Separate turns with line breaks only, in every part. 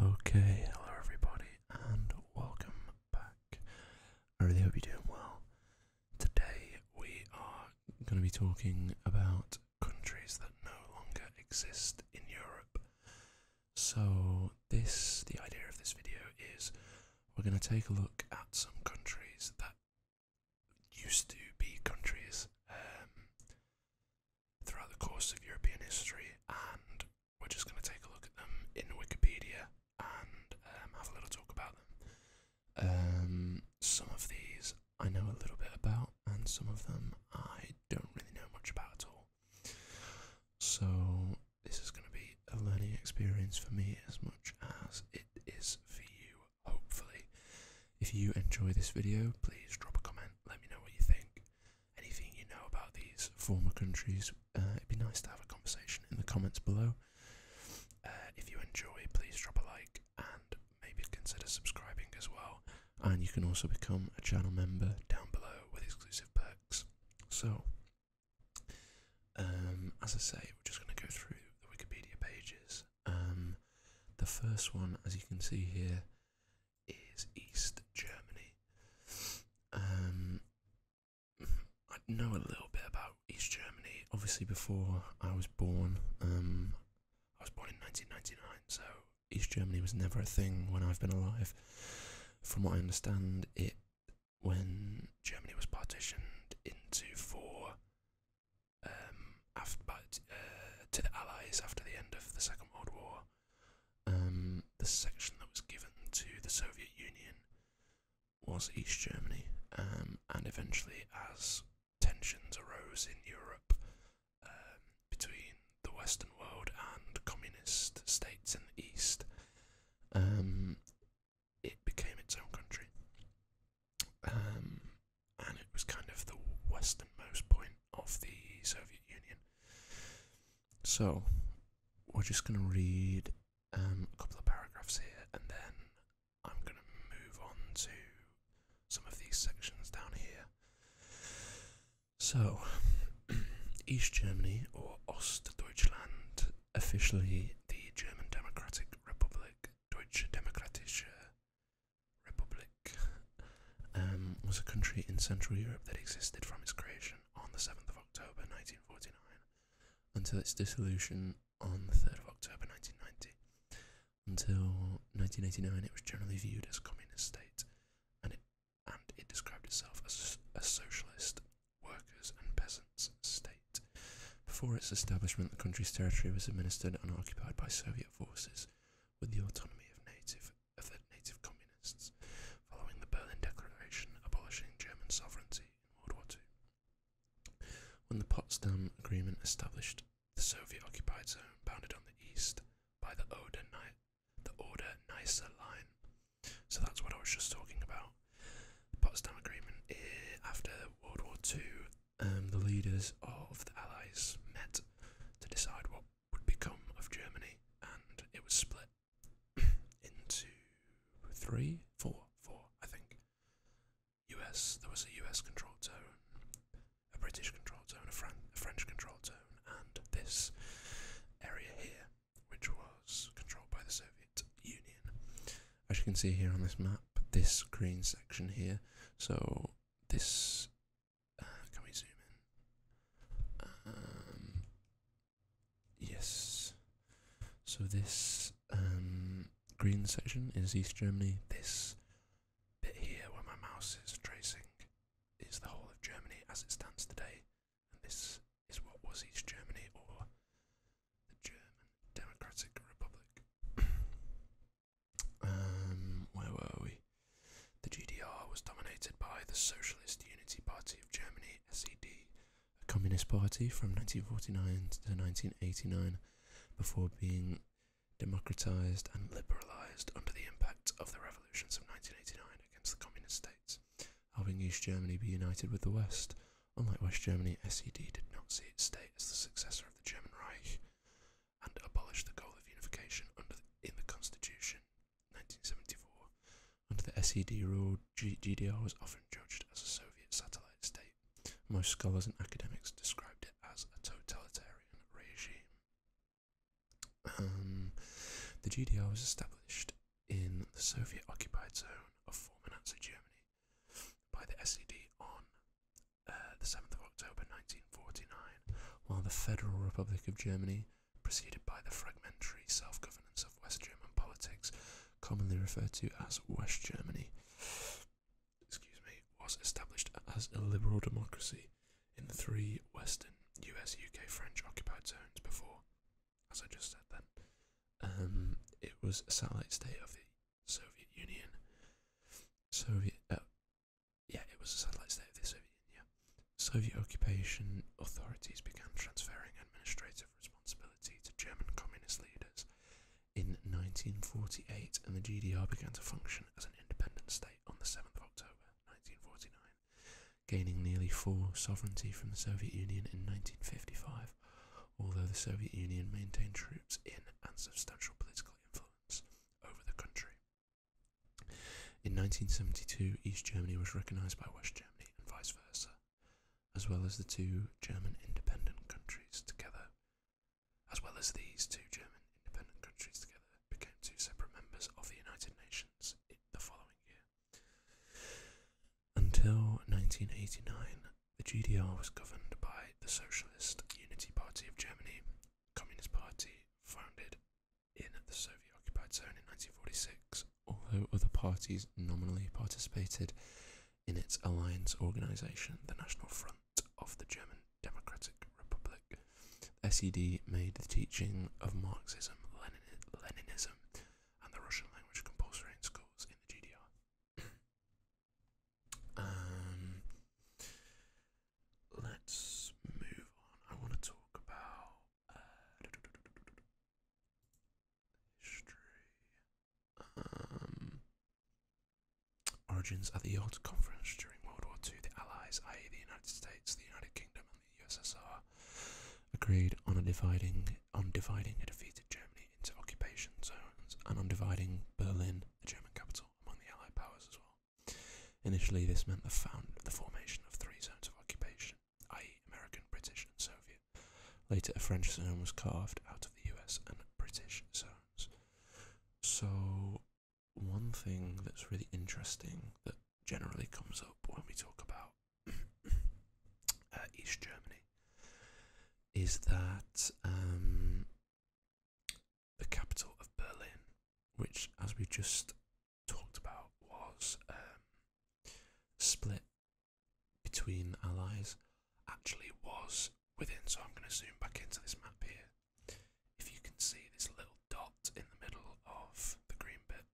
Okay, hello everybody, and welcome back. I really hope you're doing well. Today we are going to be talking about countries that no longer exist in Europe. So, this the idea of this video is we're going to take a look at some countries that used to be countries um, throughout the course of European history and we're just going to take a look at them in Wikipedia and um, have a little talk about them. Um, some of these I know a little bit about, and some of them I don't really know much about at all. So, this is going to be a learning experience for me as much as it is for you, hopefully. If you enjoy this video, please drop a comment, let me know what you think anything you know about these former countries, uh, it'd be nice to have a conversation in the comments below. Uh, if you enjoy, please drop a like and maybe consider subscribing as well. And you can also become a channel member down below with exclusive perks. So, um, as I say, we're just going to go through the Wikipedia pages. Um, the first one, as you can see here, is East Germany. Um, I know a little bit about East Germany. Obviously, before I was born, um, I was born in 1999, so East Germany was never a thing when I've been alive. From what I understand, it when Germany was partitioned into four um, after, uh, to allies after the end of the Second World War, um, the section that was given to the Soviet Union was East Germany, um, and eventually, as tensions arose in Europe um, between the Western world and communist states in the East, it became its own country. and it was kind of the westernmost point of the Soviet Union. So we're just going to read um, a couple of paragraphs here, and then I'm going to move on to some of these sections down here. So, East Germany, or Ostdeutschland, officially the German Democratic Republic, Deutsche Demokratische Republik, um, was a country in Central Europe that existed from its creation on the 7th of October 1949 until its dissolution on the 3rd of October 1990. Until 1989, it was generally viewed as a communist state, and and it described itself as a socialist workers and peasants state. Before its establishment, the country's territory was administered and occupied by Soviet forces with the autonomy of native of the native communists following the Berlin Declaration abolishing German sovereignty in World War II. When the Potsdam Agreement established the Soviet-occupied zone bounded on the east by the Oder-Neisse line, so that's what I was just talking about. The Potsdam Agreement, after World War II, um, the leaders of the Allies met to decide what would become of Germany, and it was split into three, four, four, I think. US, there was a US controlled zone, a British controlled zone, a, French controlled zone, and this area here, which was controlled by the Soviet Union. As you can see here on this map, this green section here, so this can we zoom in? Um, yes. So this um, green section is East Germany. This bit here where my mouse is tracing is the whole of Germany as it stands today. And this is what was East Germany or the German Democratic Republic. Um, where were we? The GDR was dominated by the Socialist Unity Party of Germany, SED, a communist party from 1949 to 1989 before being democratized and liberalized under the impact of the revolutions of 1989 against the communist states, helping East Germany be united with the West. Unlike West Germany, SED did not see its state as the successor of the German Reich and abolished the goal of unification under in the constitution 1974. Under the SED rule, GDR was often judged as a Soviet satellite state. Most scholars and academics described it as a totalitarian regime. Um, the GDR was established in the Soviet occupied zone of former Nazi Germany by the SED on uh, the 7th of October 1949, while the Federal Republic of Germany preceded by the fragmentary self governance of West German politics, commonly referred to as West Germany, excuse me, was established as a liberal democracy in the three Western US, UK, French occupied zones before, as I just said then. Um, it was a satellite state of the Soviet Union. Soviet, uh, yeah, it was a satellite state of the Soviet Union. Soviet occupation authorities began transferring administrative responsibility to German communist leaders in 1948, and the GDR began to function as an independent state on the 7th of October 1949, gaining nearly full sovereignty from the Soviet Union in 1955, although the Soviet Union maintained troops in and substantial political influence over the country. In 1972, East Germany was recognised by West Germany and vice versa, as well as the two German independent countries together. As well as these two German independent countries together became two separate members of the United Nations in the following year. Until 1989, the GDR was governed by the Socialist Unity Party of Germany, Communist Party founded in the Soviet occupied zone in 1946, although other parties nominally participated in its alliance organization, the National Front of the German Democratic Republic. SED made the teaching of Marxism, Leninism, and the Russian language compulsory in schools in the GDR. um, let's move on. I want to talk about history. Um, origins at the Yalta Conference during World War II, the Allies, i.e., the United States, the United Kingdom, and the USSR, agreed on a dividing on dividing a defeated Germany into occupation zones and on dividing Berlin, the German capital, among the Allied powers as well. Initially, this meant the, formation of three zones of occupation, i.e., American, British, and Soviet. Later, a French zone was carved out of the US and British zones. So, one thing that's really interesting that generally comes up when we talk about uh, East Germany is that um, the capital of Berlin, which, as we just talked about was um, split between allies actually was within. So I'm going to zoom back into this map here. If you can see this little dot in the middle of the green bit,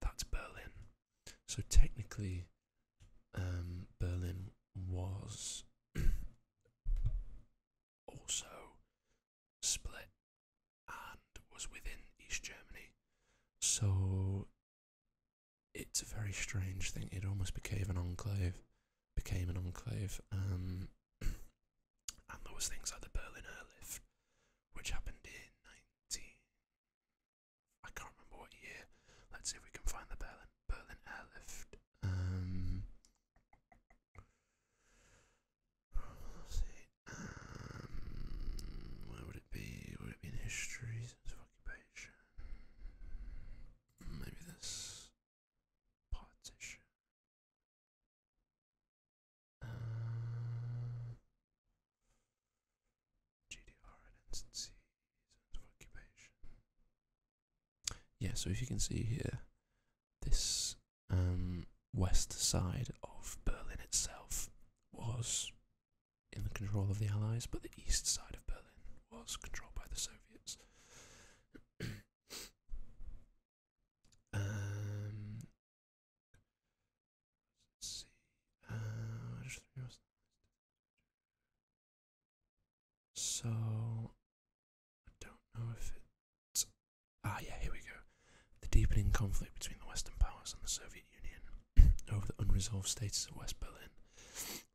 that's Berlin. So technically, um, Berlin was also split and was within East Germany. So it's a very strange thing. It almost became an enclave, became an enclave. Um, and those things are the Berlin Airlift, which happened in 19. I can't remember what year. Let's see if we can find the Berlin Berlin Airlift. Um, um, where would it be? Would it be in histories? It's fucking page. Maybe this partition. Uh, GDR and instances of Yeah, so if you can see here, this um, west side of Berlin itself was in the control of the Allies, but the east side of Berlin was controlled by the Soviets. um, see. Uh, so I don't know if it Ah, yeah, here we go. The deepening conflict between the Western powers and the Soviet Union over the unresolved status of West Berlin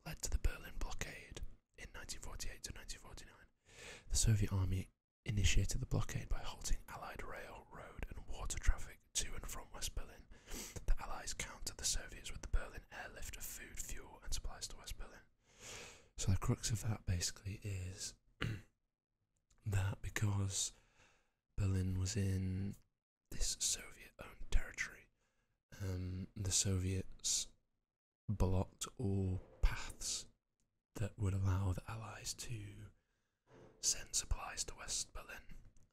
led to the Berlin blockade in 1948 to 1949. The Soviet army initiated the blockade by halting Allied rail, road, and water traffic to and from West Berlin. The Allies countered the Soviets with the Berlin airlift of food, fuel, and supplies to West Berlin. So the crux of that basically is that because Berlin was in this Soviet owned territory, um, the Soviets blocked all paths that would allow the Allies to send supplies to West Berlin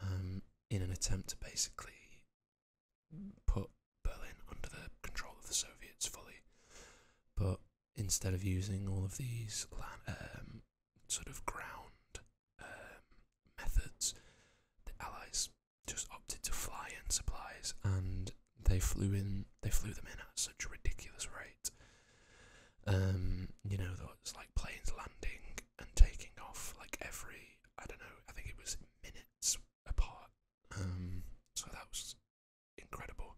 um, in an attempt to basically put Berlin under the control of the Soviets fully. But instead of using all of these um, sort of ground um, methods, the Allies just opted to fly in supplies, and they flew in. They flew them in at such a ridiculous rate. Um, you know, it's like planes landing and taking off like every I don't know. I think it was minutes apart. Um, so that was incredible.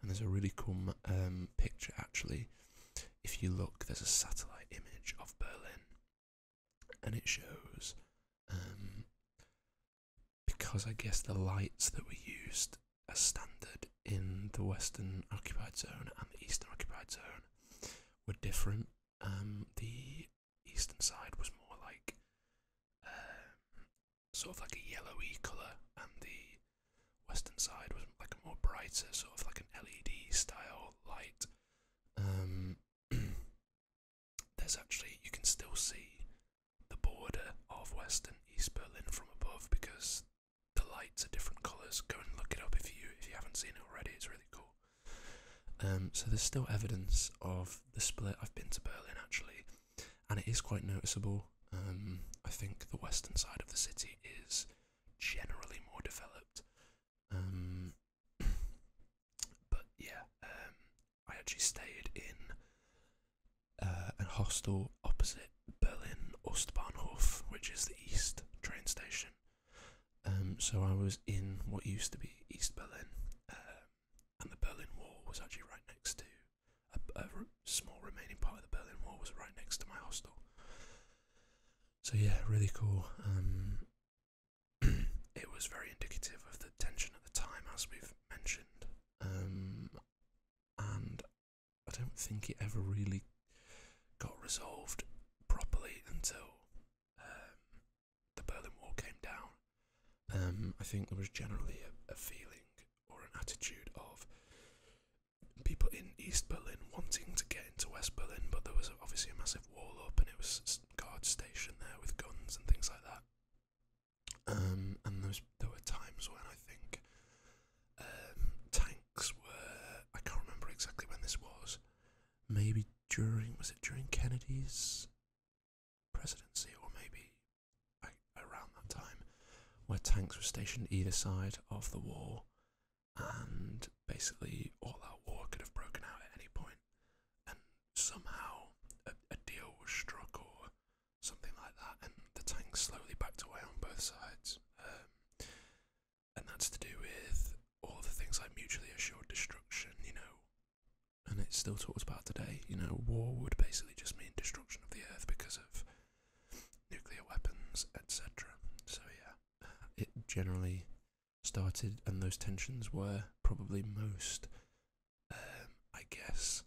And there's a really cool um, picture actually. If you look, there's a satellite image of Berlin, and it shows um, because I guess the lights that were used as standard in the Western occupied zone and the Eastern occupied zone were different. Um, the eastern side was more like sort of like a yellowy colour, and the western side was like a more brighter sort of like an LED style light. Um, there's actually you can still see the border of Western East Berlin from above because the lights are different colours. Go and look it up if you if you haven't seen it already. It's really cool. Um, so there's still evidence of the split. I've been to Berlin actually, and it is quite noticeable. Um, I think the western side of the city is generally more developed. Um, but yeah, um, I actually stayed in uh, a hostel opposite Berlin Ostbahnhof, which is the east train station. so I was in what used to be East Berlin, and the Berlin Wall was actually right next to a, small remaining part of the Berlin Wall was right next to my hostel. So yeah, really cool. Um, it was very indicative of the tension at the time, as we've mentioned, um, and I don't think it ever really got resolved properly until um, the Berlin Wall came down. I think there was generally a feeling or an attitude of people in East Berlin wanting to get into West Berlin, but there was obviously a massive wall up and it was guards stationed there with guns and things like that. Um, and there, there were times when I think um, tanks were, I can't remember exactly when this was, maybe during, was it during Kennedy's presidency or maybe, around that time, where tanks were stationed either side of the war, and basically all out war could have broken out at any point, and somehow a, deal was struck or something like that, and the tanks slowly backed away on both sides. Um, and that's to do with all the things like mutually assured destruction, you know, and it still talks about today. You know, war would basically just mean destruction of the earth because of nuclear weapons, etc. So, yeah, it generally started, and those tensions were probably most, um, I guess,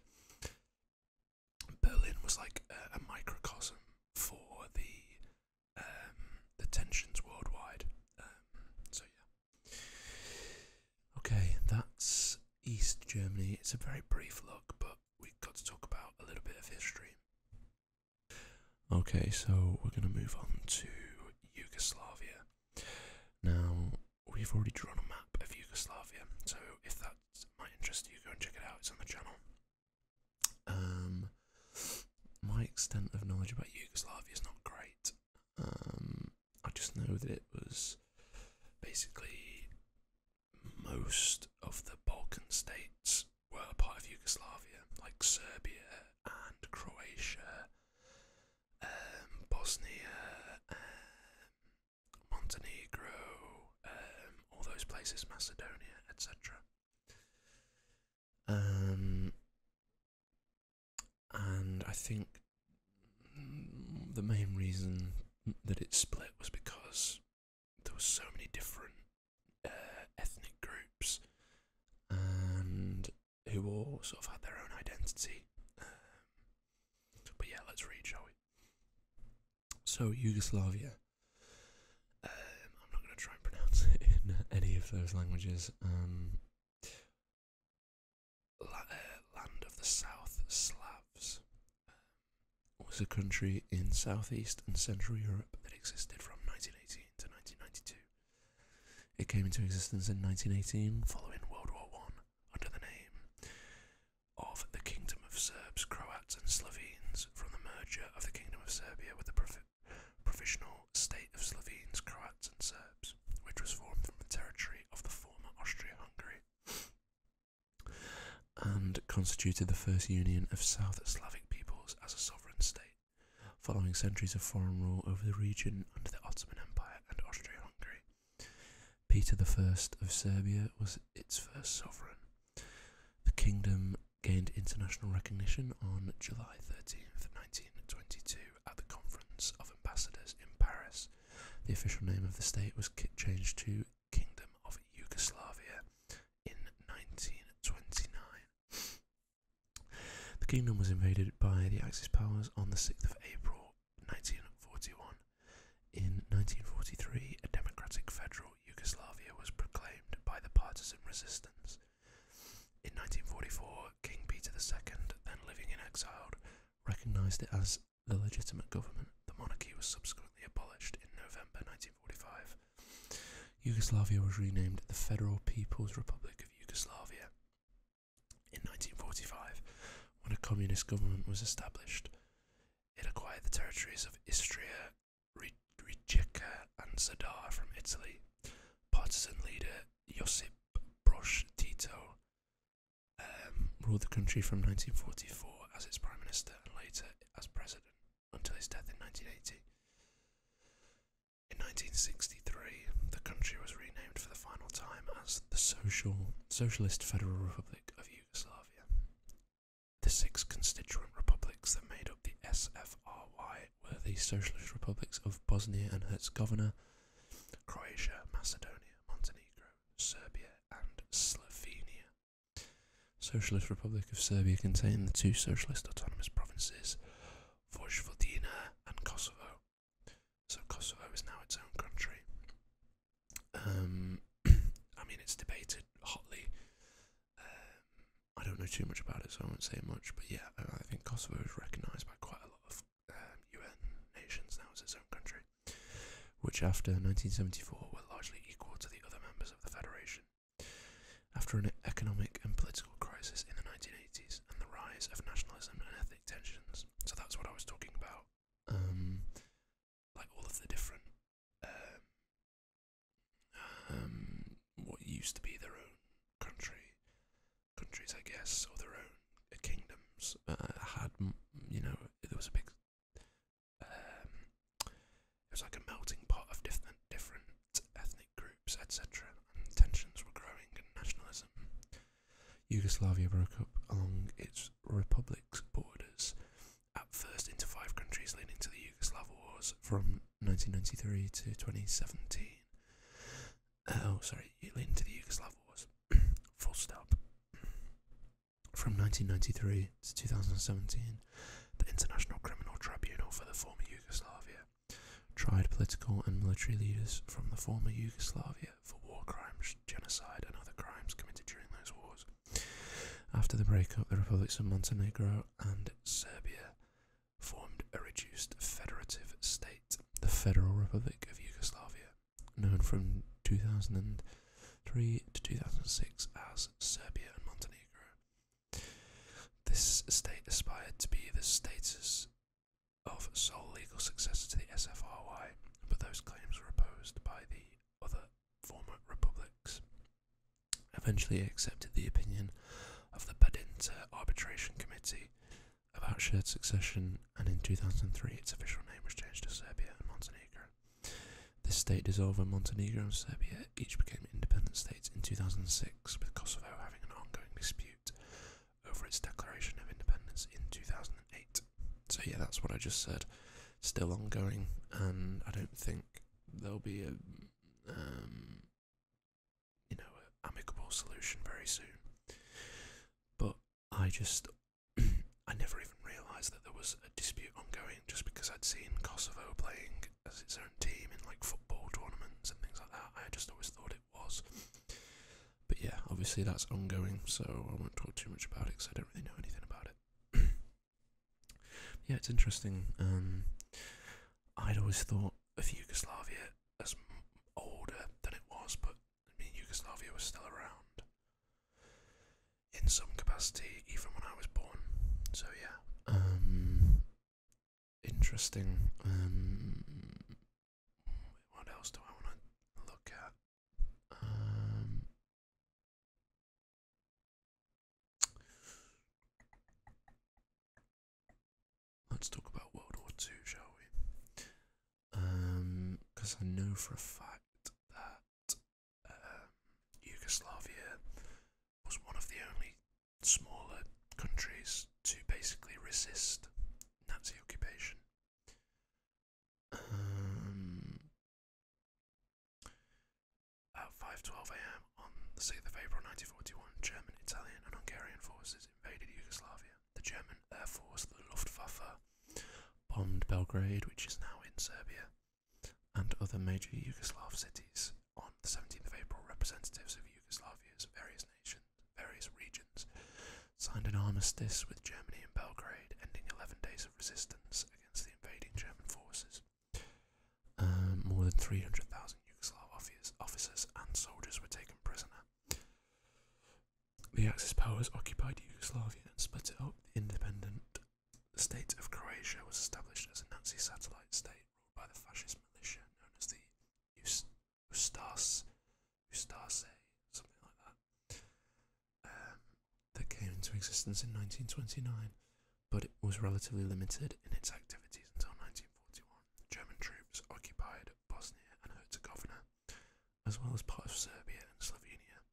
Berlin was like a, microcosm for the um, tensions worldwide. Um, so yeah, okay, that's East Germany. It's a very brief look, but we've got to talk about a little bit of history. Okay, so we're going to move on to Yugoslavia. Now, we've already drawn a map of Yugoslavia, so if that might interest you, go and check it out, it's on the channel. Um, my extent of knowledge about Yugoslavia is not great. Um, I just know that it was basically most of the Balkan states were part of Yugoslavia, like Serbia and Croatia, um, Bosnia, um, Montenegro, um, all those places, Macedonia, etc. Um, and I think the main reason that it split was because there were so many different uh, ethnic groups, and who all sort of had their own identity. Um, but yeah, let's read, shall we? So Yugoslavia. Um, I'm not going to try and pronounce it in any of those languages. Um, uh, land of the South Slavs was a country in southeast and central Europe that existed from 1918 to 1992. It came into existence in 1918 following World War I under the name of the Kingdom of Serbs, Croats, and Slovenes from the merger of the Kingdom of Serbia with the Provisional State of Slovenes, Croats, and Serbs, which was formed from the territory of the former Austria Hungary and constituted the first union of South Slavic peoples as a sovereign state, following centuries of foreign rule over the region under the Ottoman Empire and Austria-Hungary. Peter I of Serbia was its first sovereign. The kingdom gained international recognition on July 13th, 1922 at the Conference of Ambassadors in Paris. The official name of the state was changed to Kingdom of Yugoslavia in 1929. The kingdom was invaded by the Axis powers on the 6th of April 1941. In 1943, a democratic federal Yugoslavia was proclaimed by the partisan resistance. In 1944, King Peter II, then living in exile, recognised it as the legitimate government. The monarchy was subsequently abolished in November 1945. Yugoslavia was renamed the Federal People's Republic of Yugoslavia. In 1945, when a communist government was established, it acquired the territories of Istria, Rijeka, and Zadar from Italy. Partisan leader Josip Broz Tito um, ruled the country from 1944 as its prime minister and later as president until his death in 1980. In 1963, the country was renamed for the final time as the Social Socialist Federal Republic of Yugoslavia. The six constituent republics that made up the SFRY were the Socialist Republics of Bosnia and Herzegovina, Croatia, Macedonia, Montenegro, Serbia, and Slovenia. Socialist Republic of Serbia contained the two socialist autonomous provinces, Vojvodina and Kosovo. So Kosovo is now its own country. Um, I mean, it's debated hotly. Um, I don't know too much about it, so I won't say much. But yeah, I think Kosovo is recognised by quite a lot of UN um, nations now as its own country which after 1974 were largely equal to the other members of the Federation. After an economic and political crisis in the 1980s and the rise of nationalism and ethnic tensions, so that's what I was talking about, um, like all of the different, um, um, what used to be their own country, countries, I guess, or their own kingdoms, uh, had, you know, there was a big um, it was like a melting pot of different different ethnic groups, etc. And tensions were growing, and nationalism. Yugoslavia broke up along its republic's borders, at first into five countries, leading to the Yugoslav Wars from 1993 to 2017. Uh, oh, sorry, leading to the Yugoslav Wars. Full stop. From 1993 to 2017, the International Criminal Tribunal for the former Yugoslavia tried political and military leaders from the former Yugoslavia for war crimes, genocide, and other crimes committed during those wars. After the breakup, the republics of Montenegro and Serbia formed a reduced federative state, the Federal Republic of Yugoslavia, known from 2003 to 2006 as Serbia, and Montenegro. This state aspired to be the status of sole legal successor to the SFRY, but those claims were opposed by the other former republics. Eventually, it accepted the opinion of the Badinter Arbitration Committee about shared succession, and in 2003 its official name was changed to Serbia and Montenegro. This state dissolved and Montenegro and Serbia each became independent states in 2006, with Kosovo having an ongoing dispute over its declaration of independence in 2008. So, yeah, that's what I just said. Still ongoing, and I don't think there'll be a, um, you know, amicable solution very soon. But I just I never even realised that there was a dispute ongoing just because I'd seen Kosovo playing as its own team in like football tournaments and things like that. I just always thought it was. But yeah, obviously that's ongoing, so I won't talk too much about it because I don't really know anything about it. yeah, it's interesting. Um, I'd always thought of Yugoslavia as older than it was, but I mean, Yugoslavia was still around in some capacity even when I was born. So yeah, um, interesting. Um, what else do I want to look at? Um, let's talk about World War Two, shall we? Um, because I know for a fact that um, Yugoslavia was one of the only smaller countries to basically resist Nazi occupation. Um, at 5:12 a.m. on the 6th of April 1941, German, Italian, and Hungarian forces invaded Yugoslavia. The German Air Force, the Luftwaffe, bombed Belgrade, which is now in Serbia and other major Yugoslav cities. On the 17th of April, representatives of Yugoslavia's various nations, various regions, signed an armistice with Germany in Belgrade, ending 11 days of resistance against the invading German forces. Um, more than 300,000 Yugoslav officers and soldiers were taken prisoner. The Axis powers occupied Yugoslavia and split it up. The independent the state of Croatia was established as a Nazi satellite state ruled by the fascist militia known as the Ustase, Ustase something like that, um, that came into existence in 1929, but it was relatively limited in its activities until 1941. German troops occupied Bosnia and Herzegovina, as well as part of Serbia and Slovenia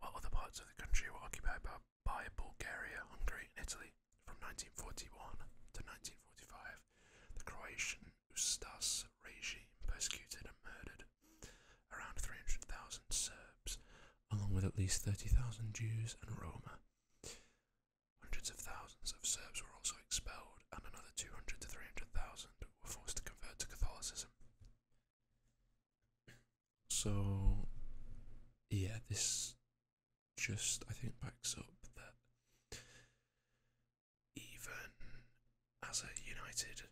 while other parts of the country were occupied by, Bulgaria, Hungary, and Italy. From 1941 to 1945, the Croatian Ustas regime persecuted and murdered around 300,000 Serbs, along with at least 30,000 Jews and Roma. Hundreds of thousands of Serbs were also expelled, and another 200 to 300,000 were forced to convert to Catholicism. So, yeah, this just I think backs up that even as a united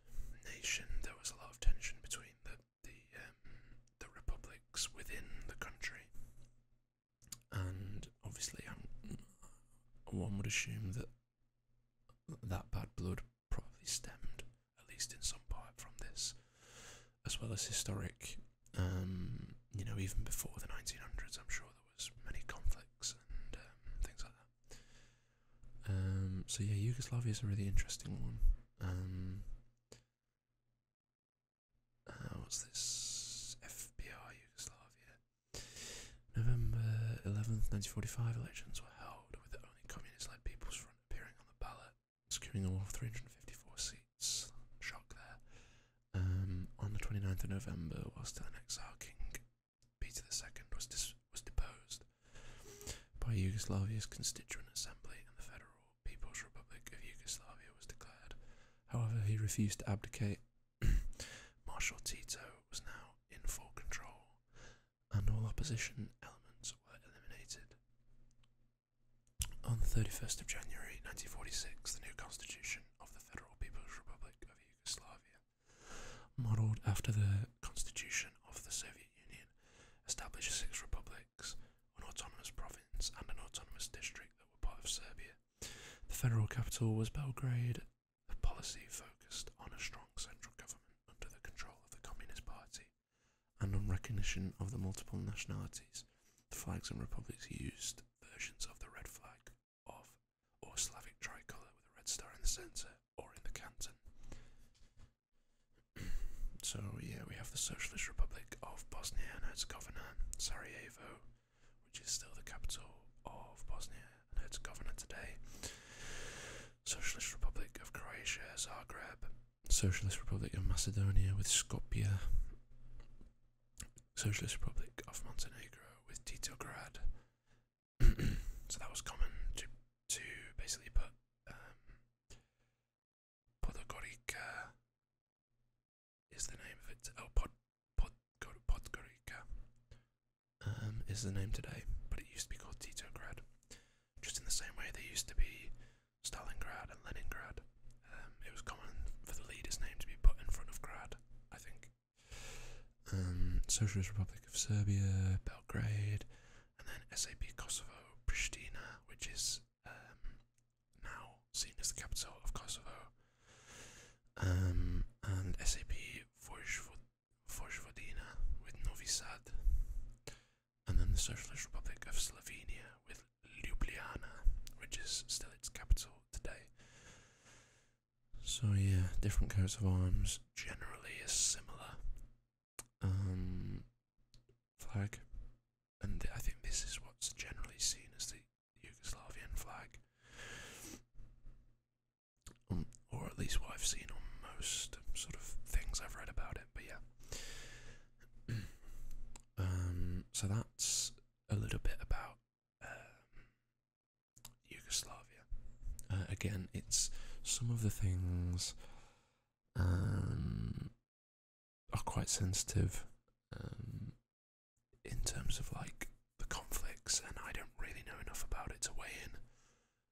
nation, there was a lot of tension between the the um, the republics within the country, and obviously, i one would assume that that bad blood probably stemmed, at least in some part, from this, as well as historic. Um, you know, even before the 1900s, I'm sure there was many conflicts and um, things like that. Um, so yeah, Yugoslavia is a really interesting one. Um, uh, what's this? FBR Yugoslavia. November 11th, 1945 elections were held with the only communist-led People's Front appearing on the ballot, securing all 354 seats. Shock there. Um, on the 29th of November, whilst an exiled king, Peter II was, was deposed by Yugoslavia's Constituent Assembly and the Federal People's Republic of Yugoslavia was declared. However, he refused to abdicate. Marshal Tito was now in full control and all opposition elements were eliminated. On 31st of January 1946, the new constitution of the Federal People's Republic of Yugoslavia, modelled after the constitution of the Soviet Union, established six republics, an autonomous province, and an autonomous district that were part of Serbia. The federal capital was Belgrade. policy focused on a strong central government under the control of the Communist Party and on recognition of the multiple nationalities, the flags and republics used versions of the red flag of or Slavic tricolour with a red star in the centre or in the canton. so, yeah, we have the Socialist Republic of Bosnia and Herzegovina, Sarajevo, which is still the capital of Bosnia and Herzegovina today. Socialist Republic of Croatia, Zagreb, Socialist Republic of Macedonia with Skopje, Socialist Republic of Montenegro with Titograd. so that was common to basically put um, Podgorica is the name of it. Oh, Pod, Pod, Podgorica um, is the name today, but it used to be called Titograd just in the same way they used to be Stalingrad and Leningrad. Um, it was common for the leader's name to be put in front of Grad, I think. Um, Socialist Republic of Serbia, Belgrade, and then SAP Kosovo, Pristina, which is um, now seen as the capital of Kosovo, and SAP Vojvodina with Novi Sad and then the Socialist Republic of Slovenia with Ljubljana, which is still its capital today. So, yeah, different coats of arms generally are similar. Um, flag, and I think this is what's generally seen as the Yugoslavian flag, um, or at least what I've seen on most sort of things I've read about it. But yeah. Um, so that's a little bit about um, Yugoslavia. Uh, again, it's some of the things um, are quite sensitive in terms of like the conflicts, and I don't really know enough about it to weigh in.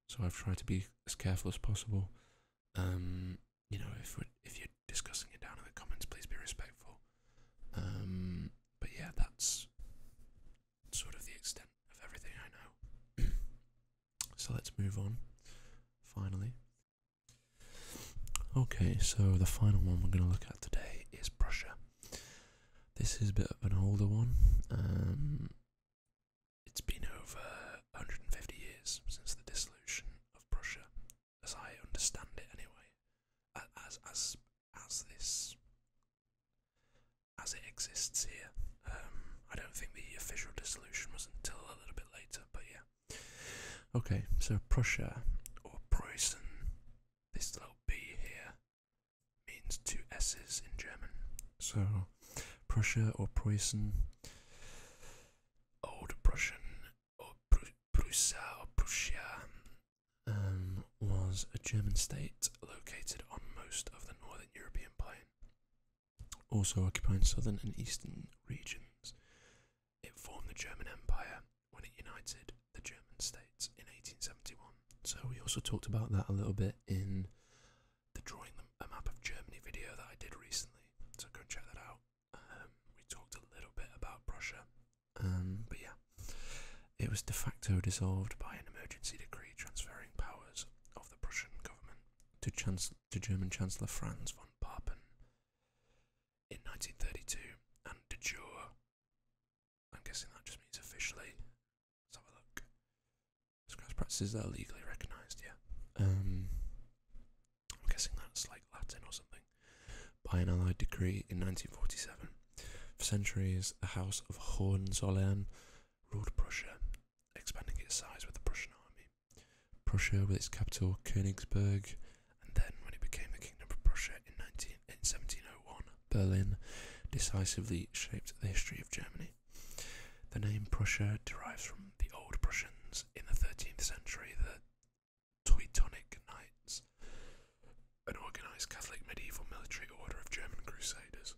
So I've tried to be as careful as possible. Um, you know, if if you're discussing it down in the comments, please be respectful. Um, but yeah, that's sort of the extent of everything I know. so let's move on. Finally. Okay, so the final one we're going to look at today is Prussia. This is a bit of an older one. Um, it's been over 150 years since the dissolution of Prussia, as I understand it anyway, as, as, as this, as it exists here. Um, I don't think the official dissolution was until a little bit later, but yeah. Okay, so Prussia, or Preußen, this little B here, means two S's in German. So Prussia or Preußen, Old Prussian or Prussia or Prussia, um, was a German state located on most of the northern European plain, also occupying southern and eastern regions. It formed the German Empire when it united the German states in 1871. So we also talked about that a little bit in the drawing a map of Germany video that I did recently, so go and check that out. Um, we talked a little bit about Prussia, um, but yeah, it was de facto dissolved by an emergency decree transferring powers of the Prussian government to, Chanc to German Chancellor Franz von Papen in 1932, and de jure. I'm guessing that just means officially. Let's have a look. Scratch practices are legally recognised, yeah. Um, I'm guessing that's like Latin or something. By an Allied decree in 1947. For centuries, the House of Hohenzollern ruled Prussia, expanding its size with the Prussian army. Prussia, with its capital Königsberg, and then when it became the Kingdom of Prussia in, 19, in 1701, Berlin, decisively shaped the history of Germany. The name Prussia derives from the old Prussians in the 13th century, the Teutonic Knights, an organized Catholic medieval military order of German crusaders,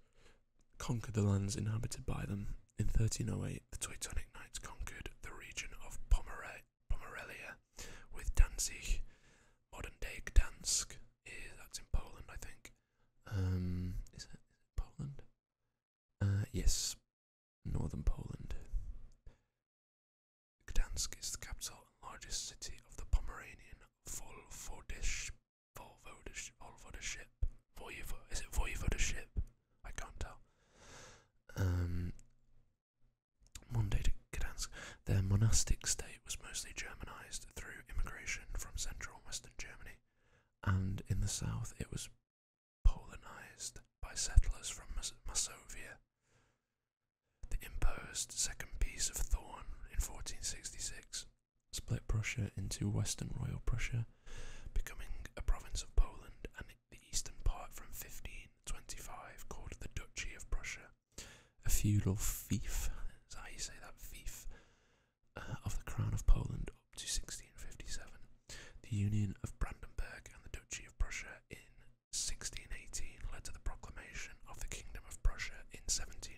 conquered the lands inhabited by them. In 1308, the Teutonic Knights conquered the region of Pomere Pomerelia with Danzig, modern day Gdansk. That's in Poland, I think. Um, is it Poland? Uh, yes, northern Poland. Gdansk is the capital and largest city of the Pomeranian Volvodeship. Voivo- is it voivodeship? I can't tell. Monday um, to Gdansk. Their monastic state was mostly Germanized through immigration from central and western Germany, and in the south it was Polonized by settlers from Masovia. The imposed Second Peace of Thorn in 1466 split Prussia into Western Royal Prussia, becoming a province of Poland and the eastern part from 1525 called the Duchy of Prussia. A feudal fief, is that you say that? Fief uh, of the Crown of Poland up to 1657, the Union of Brandenburg and the Duchy of Prussia in 1618 led to the proclamation of the Kingdom of Prussia in 1701.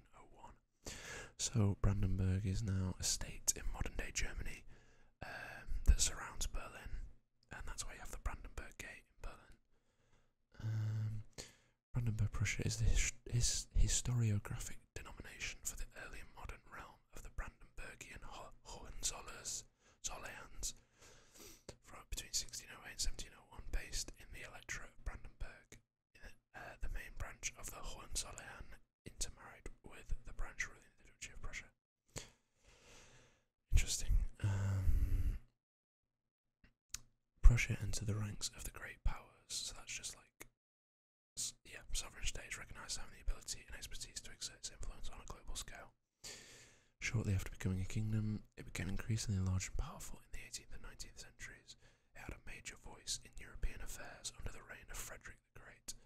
So Brandenburg is now a state in modern day Germany um, that surrounds Berlin, and that's why you have the Brandenburg Gate in Berlin. Um, Brandenburg Prussia is this historiographic denomination for the early modern realm of the Brandenburgian Ho Hohenzollerns from between 1608 and 1701, based in the electorate of Brandenburg. Uh, the, main branch of the Hohenzollern intermarried with the branch ruling the Duchy of Prussia. Interesting. Um, Prussia entered the ranks of the great powers, so that's just like yeah, sovereign states recognized having the ability and expertise to exert its influence on a global scale. Shortly after becoming a kingdom, it became increasingly large and powerful in the 18th and 19th centuries. It had a major voice in European affairs under the reign of Frederick the Great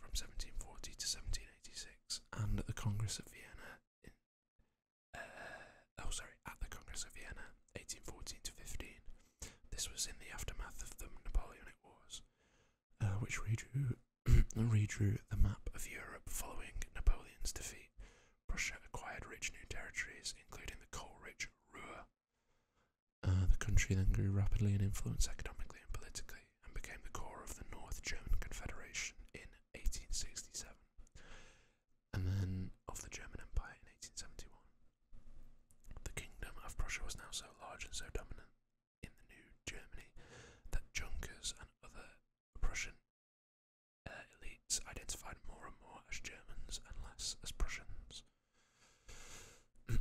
from 1740 to 1786, and at the Congress of Vienna in, uh, oh sorry, at the Congress of Vienna, 1814 to 15. This was in the aftermath of the Napoleonic Wars. Uh, which redrew, redrew the map of Europe following Napoleon's defeat. Prussia acquired rich new territories, including the coal-rich Ruhr. Uh, the country then grew rapidly in influence economically and politically, and became the core of the North German Confederation in 1867, and then of the German Empire in 1871. The Kingdom of Prussia was now so large and so dominant in the new Germany that Junkers and other Prussian uh, elites identified more and more as Germans and less as Prussians.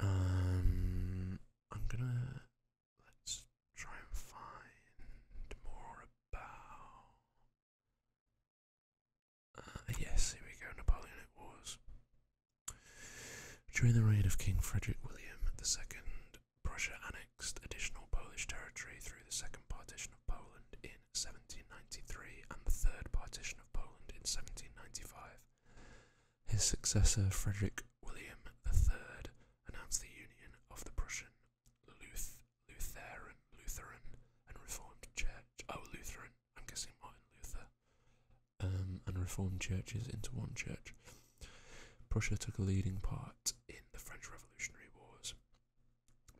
um, I'm gonna let's try and find more about uh, yes, here we go, Napoleonic Wars. During the reign of King Frederick William II, Prussia annexed additional Polish territory through the Second Partition of Poland in 1793 and the Third Partition of Poland in 1795. His successor, Frederick William III, announced the union of the Prussian Lutheran Lutheran and Reformed Church. Oh, Lutheran I'm guessing Martin Luther, um, and reformed churches into one church. Prussia took a leading part in the French Revolutionary Wars,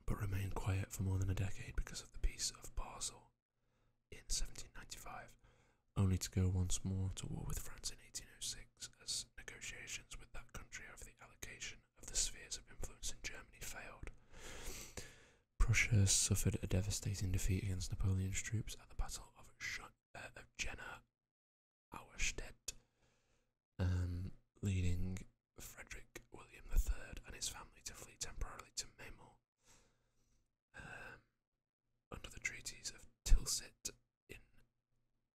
but remained quiet for more than a decade because of the Peace of Basel in 1795, only to go once more to war with France in 1806 as negotiations with that country over the allocation of the spheres of influence in Germany failed. Prussia suffered a devastating defeat against Napoleon's troops at the Battle of, uh, Jena Auerstedt, um, leading Frederick William III and his family to flee temporarily to Memel. Um, under the treaties of Tilsit in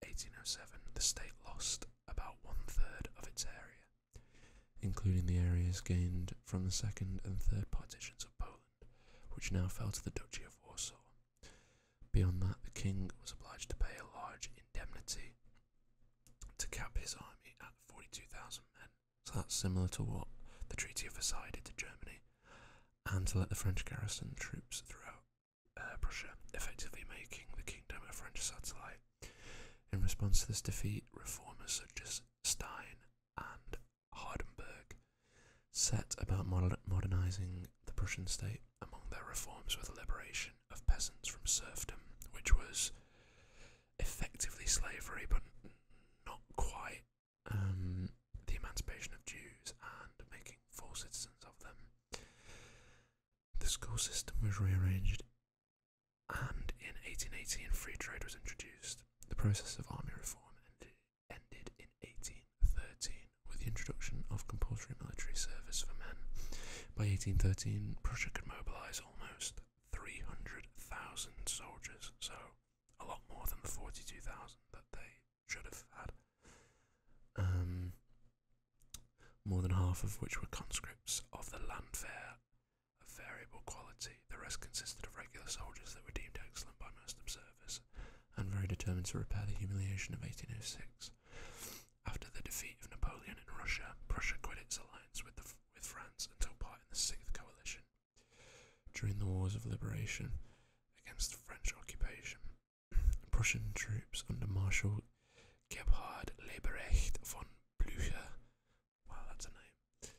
1807, the state lost about one third of its area, including the areas gained from the second and third partitions of Poland which now fell to the Duchy of Warsaw. Beyond that, the king was obliged to pay a large indemnity to cap his army at 42,000 men. So that's similar to what the Treaty of Versailles did to Germany, and to let the French garrison troops throughout uh, Prussia, effectively making the kingdom a French satellite. In response to this defeat, reformers such as Stein and Hardenberg set about modernizing the Prussian state. Among their reforms were the liberation of peasants from serfdom, which was effectively slavery, but not quite, um, the emancipation of Jews and making full citizens of them. The school system was rearranged, and in 1818, free trade was introduced the process of army reform ended in 1813 with the introduction of compulsory military service for men. By 1813, Prussia could mobilise almost 300,000 soldiers, so a lot more than the 42,000 that they should have had. Um, more than half of which were conscripts of the Landwehr of variable quality. The rest consisted of regular soldiers that were deemed excellent by most observers, and very determined to repair the humiliation of 1806. After the defeat of Napoleon in Russia, Prussia quit its alliance with, with France and took part in the Sixth Coalition. During the Wars of Liberation against French occupation, Prussian troops under Marshal Gebhard Leberecht von Blücher Wow, that's a name.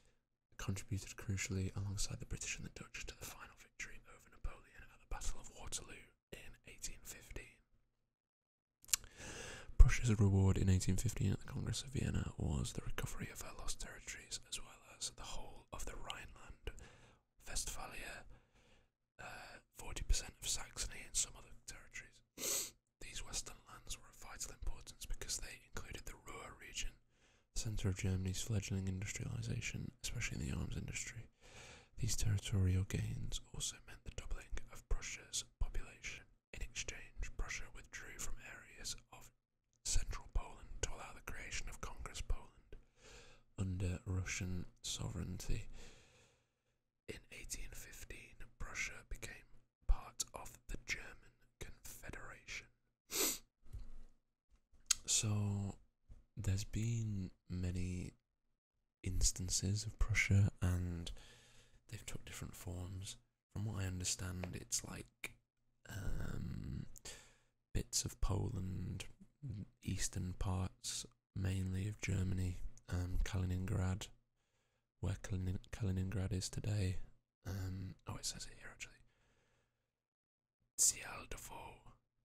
Contributed crucially alongside the British and the Dutch to the final victory over Napoleon at the Battle of Waterloo in 1815. Prussia's reward in 1815 at the Congress of Vienna was the recovery of her lost territories as well as the whole of the Rhineland, Westphalia, 40% uh, of Saxony, and some other territories. These western lands were of vital importance because they included the Ruhr region, center of Germany's fledgling industrialization, especially in the arms industry. These territorial gains also meant the doubling of Prussia's population. In exchange, Prussia withdrew from areas of central Poland to allow the creation of Congress Poland under Russian sovereignty. In 1815, Prussia became part of the German Confederation, so, there's been many instances of Prussia, and they've took different forms. From what I understand, it's like um, bits of Poland, eastern parts, mainly of Germany, um, Kaliningrad, where Kalin Kaliningrad is today, um, oh, it says it here actually. Cialdofo.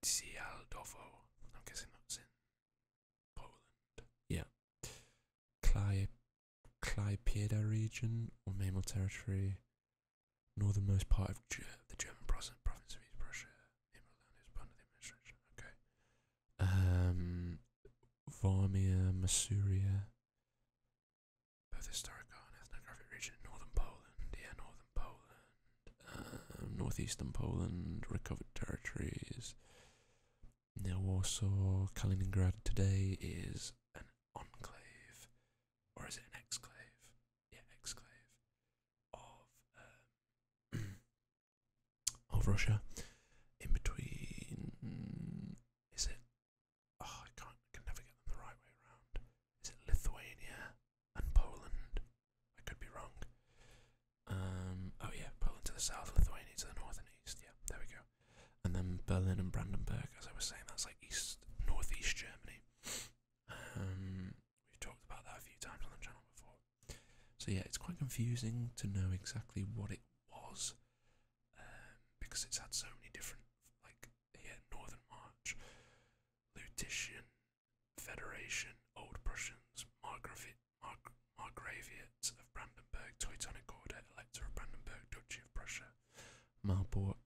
Cialdofo. I'm guessing that's Yeah. Klei, Kleipieda region or Memel territory. Northernmost part of the German province of East Prussia. Memelland is part the administration. Okay. Um, Varmia, Masuria. Both historical and ethnographic region northern Poland, yeah, northern Poland, um, northeastern Poland, recovered territories. Near Warsaw, Kaliningrad today is an enclave, or is it an exclave? Yeah, exclave of um, of Russia. In between, is it Oh, I can't. I can never get them the right way around. Is it Lithuania and Poland? I could be wrong. Um. Oh yeah, Poland to the south, Lithuania to the north and east. Yeah, there we go. And then Berlin and Brandenburg, as I was saying, that's like east, northeast Germany. Um, we've talked about that a few times on the channel before. So yeah, it's quite confusing to know exactly what it was, um, because it's had so many different like yeah, Northern March, Lutetian Federation, Old Prussians, Margravi Margraviates of Brandenburg, Teutonic Order, Elector of Brandenburg, Duchy of Prussia, Marburg,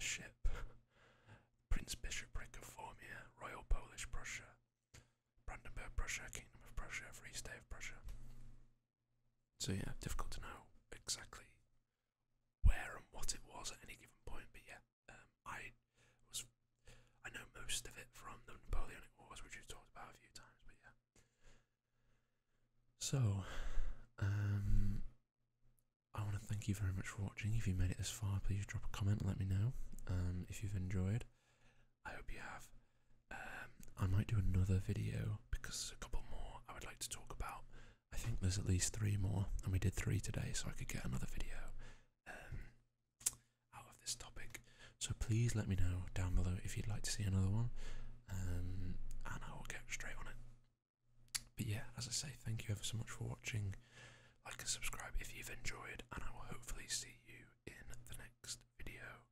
Ship, Prince Bishopric of Formia, Royal Polish Prussia, Brandenburg Prussia, Kingdom of Prussia, Free State of Prussia. So yeah, difficult to know exactly where and what it was at any given point. But yeah, um, I was I know most of it from the Napoleonic Wars, which we've talked about a few times. But yeah, so um, I want to thank you very much for watching. If you made it this far, please drop a comment and let me know. Um, if you've enjoyed, I hope you have. I might do another video because there's a couple more I would like to talk about I think there's at least three more, and we did three today, so I could get another video um, out of this topic. So please let me know down below if you'd like to see another one, um, and I will get straight on it. But yeah, as I say, thank you ever so much for watching. Like and subscribe if you've enjoyed, and I will hopefully see you in the next video.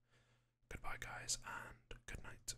Goodbye, guys, and good night.